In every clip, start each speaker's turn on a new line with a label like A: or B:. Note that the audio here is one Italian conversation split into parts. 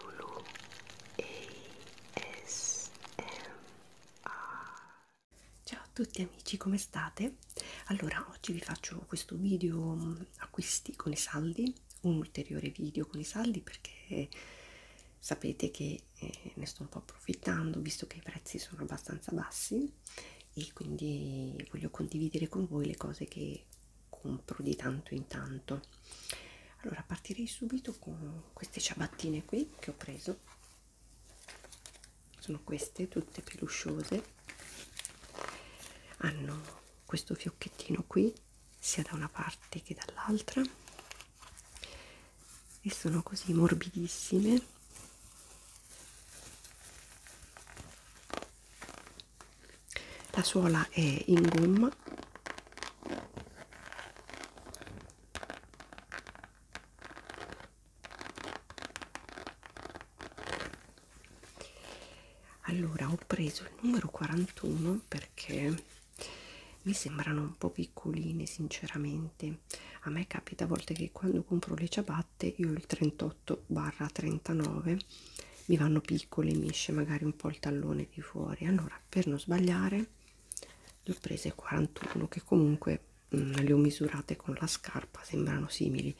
A: Lulu Ciao a tutti amici, come state? Allora, oggi vi faccio questo video mm, acquisti con i saldi, un ulteriore video con i saldi perché sapete che eh, ne sto un po' approfittando visto che i prezzi sono abbastanza bassi e quindi voglio condividere con voi le cose che compro di tanto in tanto allora partirei subito con queste ciabattine qui che ho preso sono queste tutte pelusciose hanno questo fiocchettino qui sia da una parte che dall'altra e sono così morbidissime la suola è in gomma allora ho preso il numero 41 perché mi sembrano un po' piccoline sinceramente a me capita a volte che quando compro le ciabatte io il 38 38 barra 39 mi vanno piccole mi esce magari un po' il tallone di fuori allora per non sbagliare le ho prese 41 che comunque mh, mm, le ho misurate con la scarpa sembrano simili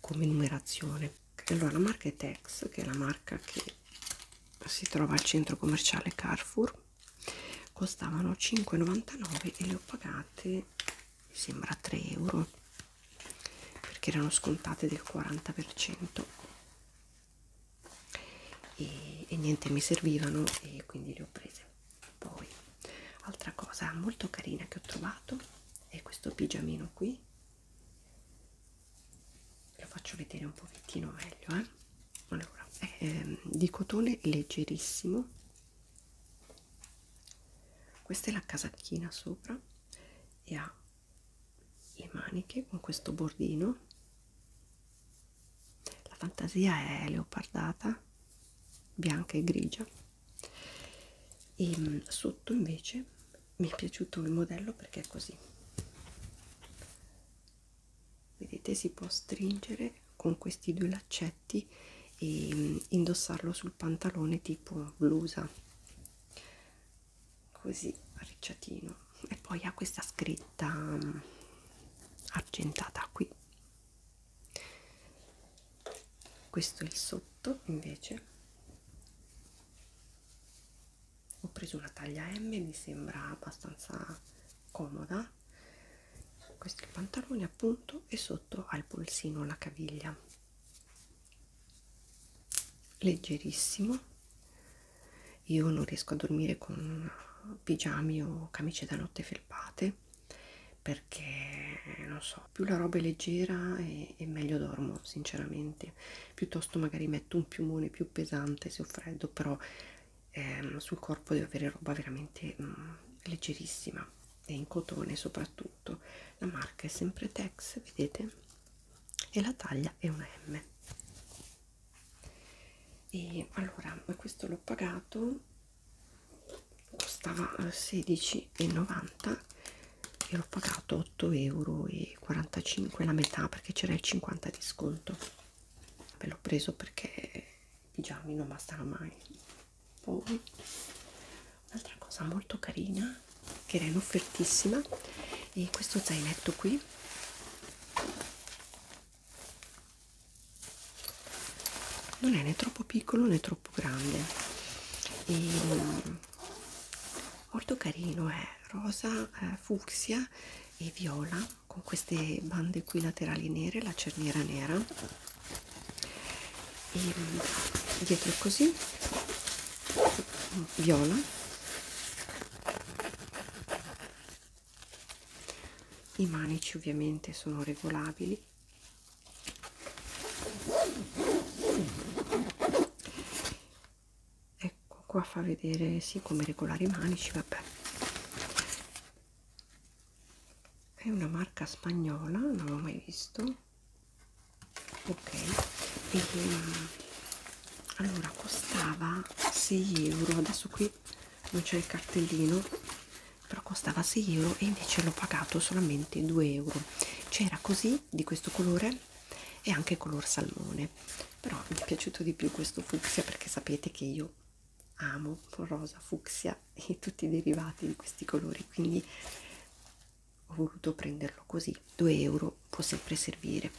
A: come numerazione allora la marca è Tex che è la marca che si trova al centro commerciale Carrefour costavano 5,99 e le ho pagate mi sembra 3 euro perché erano scontate del 40% e, e niente mi servivano e quindi le ho prese poi altra cosa molto carina che ho trovato è questo pigiamino qui lo faccio vedere un pochettino meglio eh? allora, è, eh, di cotone leggerissimo questa è la casacchina sopra e ha le maniche con questo bordino la fantasia è leopardata bianca e grigia e mm, sotto invece mi è piaciuto il modello perché è così vedete si può stringere con questi due laccetti e mm, indossarlo sul pantalone tipo blusa così arricciatino e poi ha questa scritta mm, argentata qui questo è il sotto invece ho preso una taglia M mi sembra abbastanza comoda questo è il pantalone appunto e sotto ha il polsino alla caviglia leggerissimo io non riesco a dormire con pigiami o camicie da notte felpate perché non so più la roba è leggera e, e meglio dormo sinceramente piuttosto magari metto un piumone più pesante se ho freddo però ehm, sul corpo devo avere roba veramente mh, mm, leggerissima e in cotone soprattutto tutto la marca è sempre Tex vedete e la taglia è una M e allora questo l'ho pagato costava 16,90 e l'ho pagato 8,45 euro la metà perché c'era il 50 di sconto l'ho preso perché i pigiamino non bastano mai poi un'altra cosa molto carina che era in offertissima e questo zainetto qui non è né troppo piccolo né troppo grande e mm, molto carino è eh, rosa eh, fucsia e viola con queste bande qui laterali nere la cerniera nera e dietro così viola i manici ovviamente sono regolabili ecco qua fa vedere sì come regolare i manici vabbè è una marca spagnola non l'ho mai visto ok e, eh, allora costava 6 euro adesso qui non c'è il cartellino però costava 6 euro e invece l'ho pagato solamente 2 euro c'era così di questo colore e anche color salmone però mi è piaciuto di più questo fucsia perché sapete che io amo rosa, fucsia e tutti i derivati di questi colori quindi ho voluto prenderlo così 2 euro può sempre servire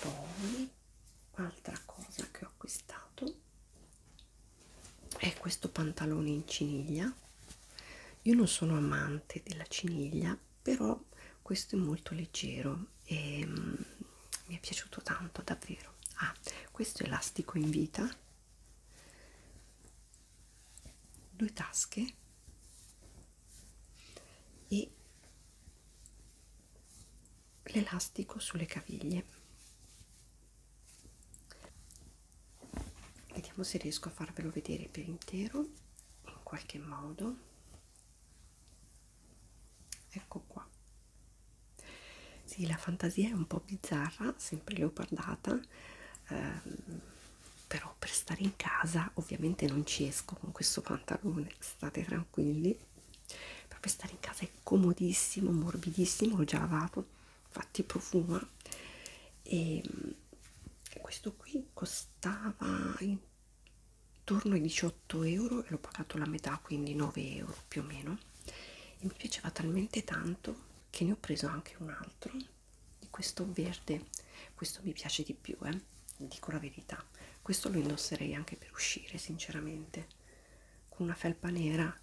A: poi altra cosa che ho acquistato è questo pantalone in ciniglia io non sono amante della ciniglia però questo è molto leggero e mm, mi è piaciuto tanto davvero ah questo elastico in vita due tasche e l'elastico sulle caviglie vediamo se riesco a farvelo vedere per intero in qualche modo ecco qua sì la fantasia è un po' bizzarra sempre leopardata ehm, però per stare in casa ovviamente non ci esco con questo pantalone state tranquilli però per stare in casa è comodissimo morbidissimo l'ho già lavato infatti profuma ehm, e questo qui costava torno ai 18 euro e l'ho pagato la metà quindi 9 euro più o meno e mi piaceva talmente tanto che ne ho preso anche un altro di questo verde questo mi piace di più eh dico la verità questo lo indosserei anche per uscire sinceramente con una felpa nera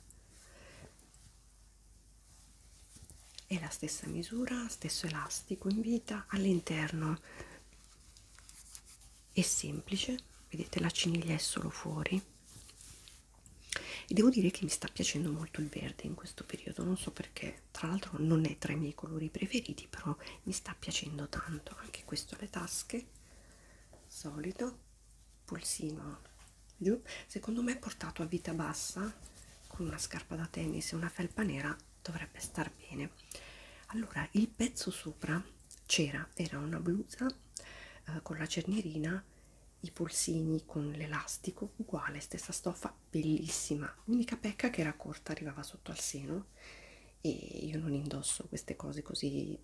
A: è la stessa misura stesso elastico in vita all'interno è semplice vedete la ciniglia è solo fuori e devo dire che mi sta piacendo molto il verde in questo periodo non so perché tra l'altro non è tra i miei colori preferiti però mi sta piacendo tanto anche questo le tasche solito pulsino giù secondo me portato a vita bassa con una scarpa da tennis e una felpa nera dovrebbe star bene allora il pezzo sopra c'era era una blusa eh, con la cernierina i polsini con l'elastico uguale stessa stoffa bellissima l'unica pecca che era corta arrivava sotto al seno e io non indosso queste cose così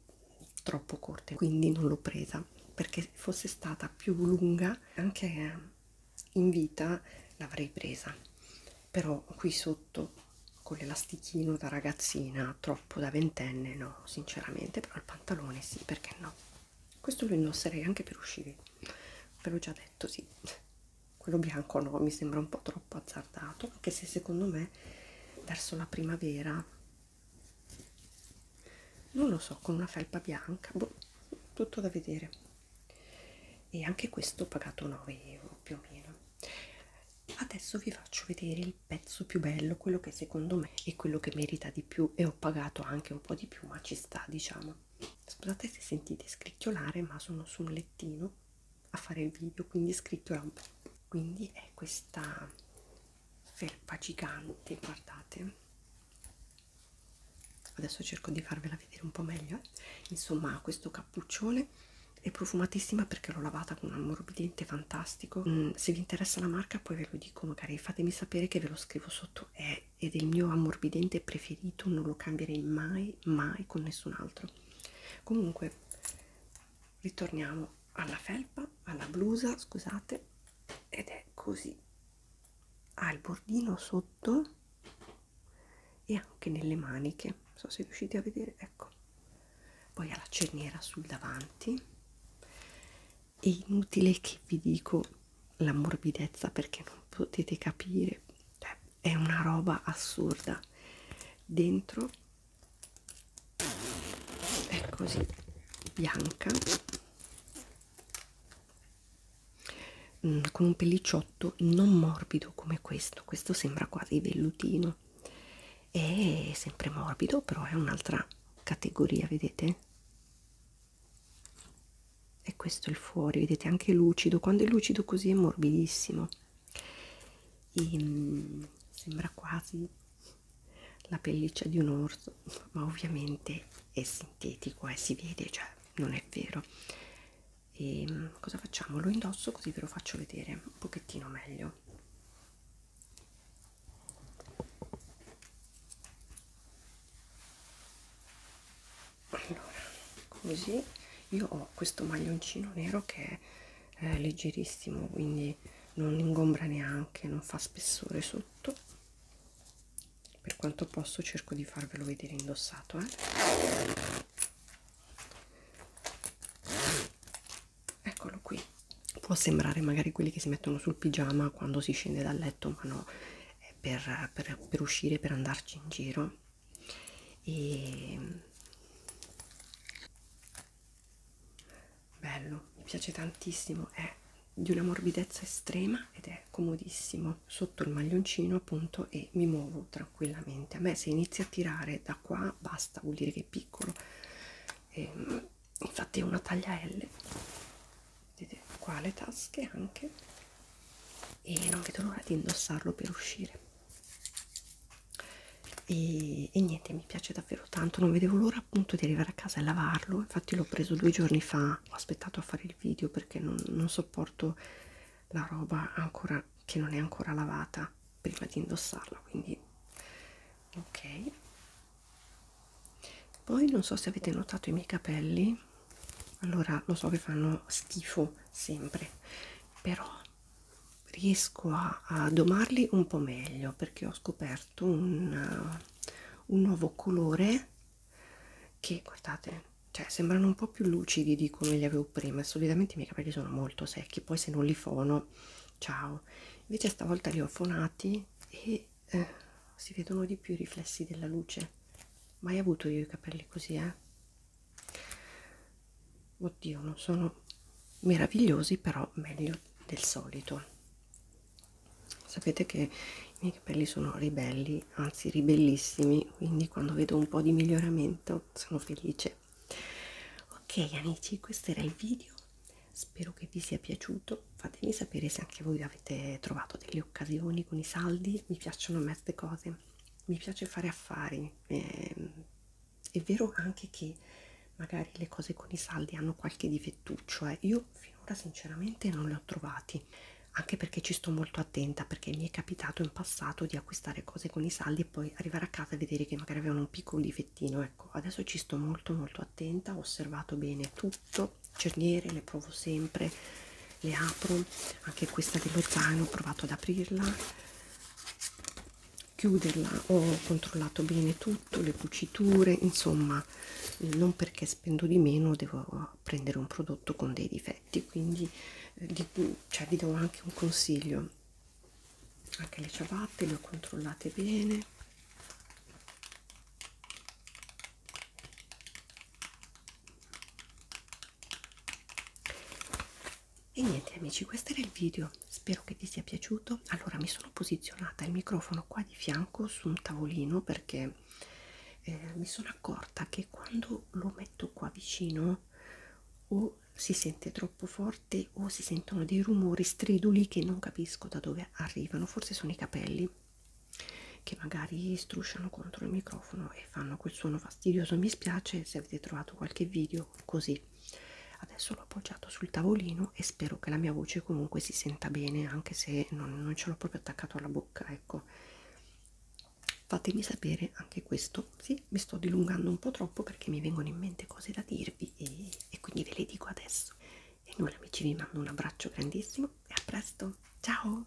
A: troppo corte quindi non l'ho presa perché se fosse stata più lunga anche in vita l'avrei presa però qui sotto con l'elastichino da ragazzina troppo da ventenne no sinceramente però il pantalone sì perché no questo lo indosserei anche per uscire ve l'ho già detto sì quello bianco no mi sembra un po' troppo azzardato anche se secondo me verso la primavera non lo so con una felpa bianca boh, tutto da vedere e anche questo ho pagato 9 euro più o meno adesso vi faccio vedere il pezzo più bello quello che secondo me è quello che merita di più e ho pagato anche un po' di più ma ci sta diciamo scusate se sentite scricchiolare ma sono su un lettino a fare il video quindi scricchiola un po' quindi è questa felpa gigante guardate adesso cerco di farvela vedere un po' meglio eh? insomma ha questo cappuccione è profumatissima perché l'ho lavata con un ammorbidente fantastico mm, se vi interessa la marca poi ve lo dico magari fatemi sapere che ve lo scrivo sotto è ed è il mio ammorbidente preferito non lo cambierei mai mai con nessun altro comunque ritorniamo alla felpa alla blusa scusate ed è così ha il bordino sotto e anche nelle maniche non so se riuscite a vedere ecco poi ha la cerniera sul davanti è inutile che vi dico la morbidezza perché non potete capire cioè, è una roba assurda dentro è così bianca mm, con un pellicciotto non morbido come questo questo sembra quasi vellutino è sempre morbido però è un'altra categoria vedete e questo è il fuori vedete anche lucido quando è lucido così è morbidissimo e, mm, sembra quasi la pelliccia di un orso ma ovviamente è sintetico e eh, si vede cioè non è vero e mm, cosa facciamo? Lo indosso così ve lo faccio vedere un pochettino meglio. Allora, così io ho questo maglioncino nero che è eh, leggerissimo, quindi non ingombra neanche, non fa spessore sotto per quanto posso cerco di farvelo vedere indossato eh? eccolo qui può sembrare magari quelli che si mettono sul pigiama quando si scende dal letto ma no è per, per, per uscire per andarci in giro e bello mi piace tantissimo è di una morbidezza estrema ed è è comodissimo sotto il maglioncino appunto e mi muovo tranquillamente a me se inizia a tirare da qua basta vuol dire che è piccolo e, ehm, infatti è una taglia L vedete qua le tasche anche e non vedo l'ora di indossarlo per uscire e, e niente mi piace davvero tanto non vedevo l'ora appunto di arrivare a casa e lavarlo infatti l'ho preso due giorni fa ma ho aspettato a fare il video perché non, non sopporto la roba ancora che non è ancora lavata prima di indossarla quindi ok poi non so se avete notato i miei capelli allora lo so che fanno schifo sempre però riesco a, a domarli un po meglio perché ho scoperto un, uh, un nuovo colore che guardate cioè sembrano un po' più lucidi di come li avevo prima solitamente i miei capelli sono molto secchi poi se non li fono ciao invece stavolta li ho fonati e eh, si vedono di più i riflessi della luce mai avuto io i capelli così eh oddio non sono meravigliosi però meglio del solito Sapete che i miei capelli sono ribelli, anzi ribellissimi, quindi quando vedo un po' di miglioramento sono felice. Ok amici, questo era il video, spero che vi sia piaciuto, fatemi sapere se anche voi avete trovato delle occasioni con i saldi, mi piacciono a me queste cose, mi piace fare affari. Eh, è vero anche che magari le cose con i saldi hanno qualche difettuccio, eh. io io finora sinceramente non li ho trovati anche perché ci sto molto attenta perché mi è capitato in passato di acquistare cose con i saldi e poi arrivare a casa e vedere che magari avevano un piccolo difettino ecco adesso ci sto molto molto attenta ho osservato bene tutto cerniere le provo sempre le apro anche questa dello zaino ho provato ad aprirla chiuderla ho controllato bene tutto le cuciture insomma non perché spendo di meno devo prendere un prodotto con dei difetti quindi eh, di, cioè, vi do anche un consiglio anche le ciabatte le ho controllate bene e niente amici questo era il video spero che ti sia piaciuto allora mi sono posizionata il microfono qua di fianco su un tavolino perché eh, mi sono accorta che quando lo metto qua vicino o si sente troppo forte o si sentono dei rumori striduli che non capisco da dove arrivano, forse sono i capelli che magari strusciano contro il microfono e fanno quel suono fastidioso. Mi spiace se avete trovato qualche video così. Adesso l'ho appoggiato sul tavolino meno e spero che la mia voce comunque si senta bene anche se non, non ce l'ho proprio attaccato alla bocca ecco fatemi sapere anche questo sì mi sto dilungando un po' troppo perché mi vengono in mente cose da dirvi e, e quindi ve le dico adesso e nulla amici vi mando un abbraccio grandissimo e a presto ciao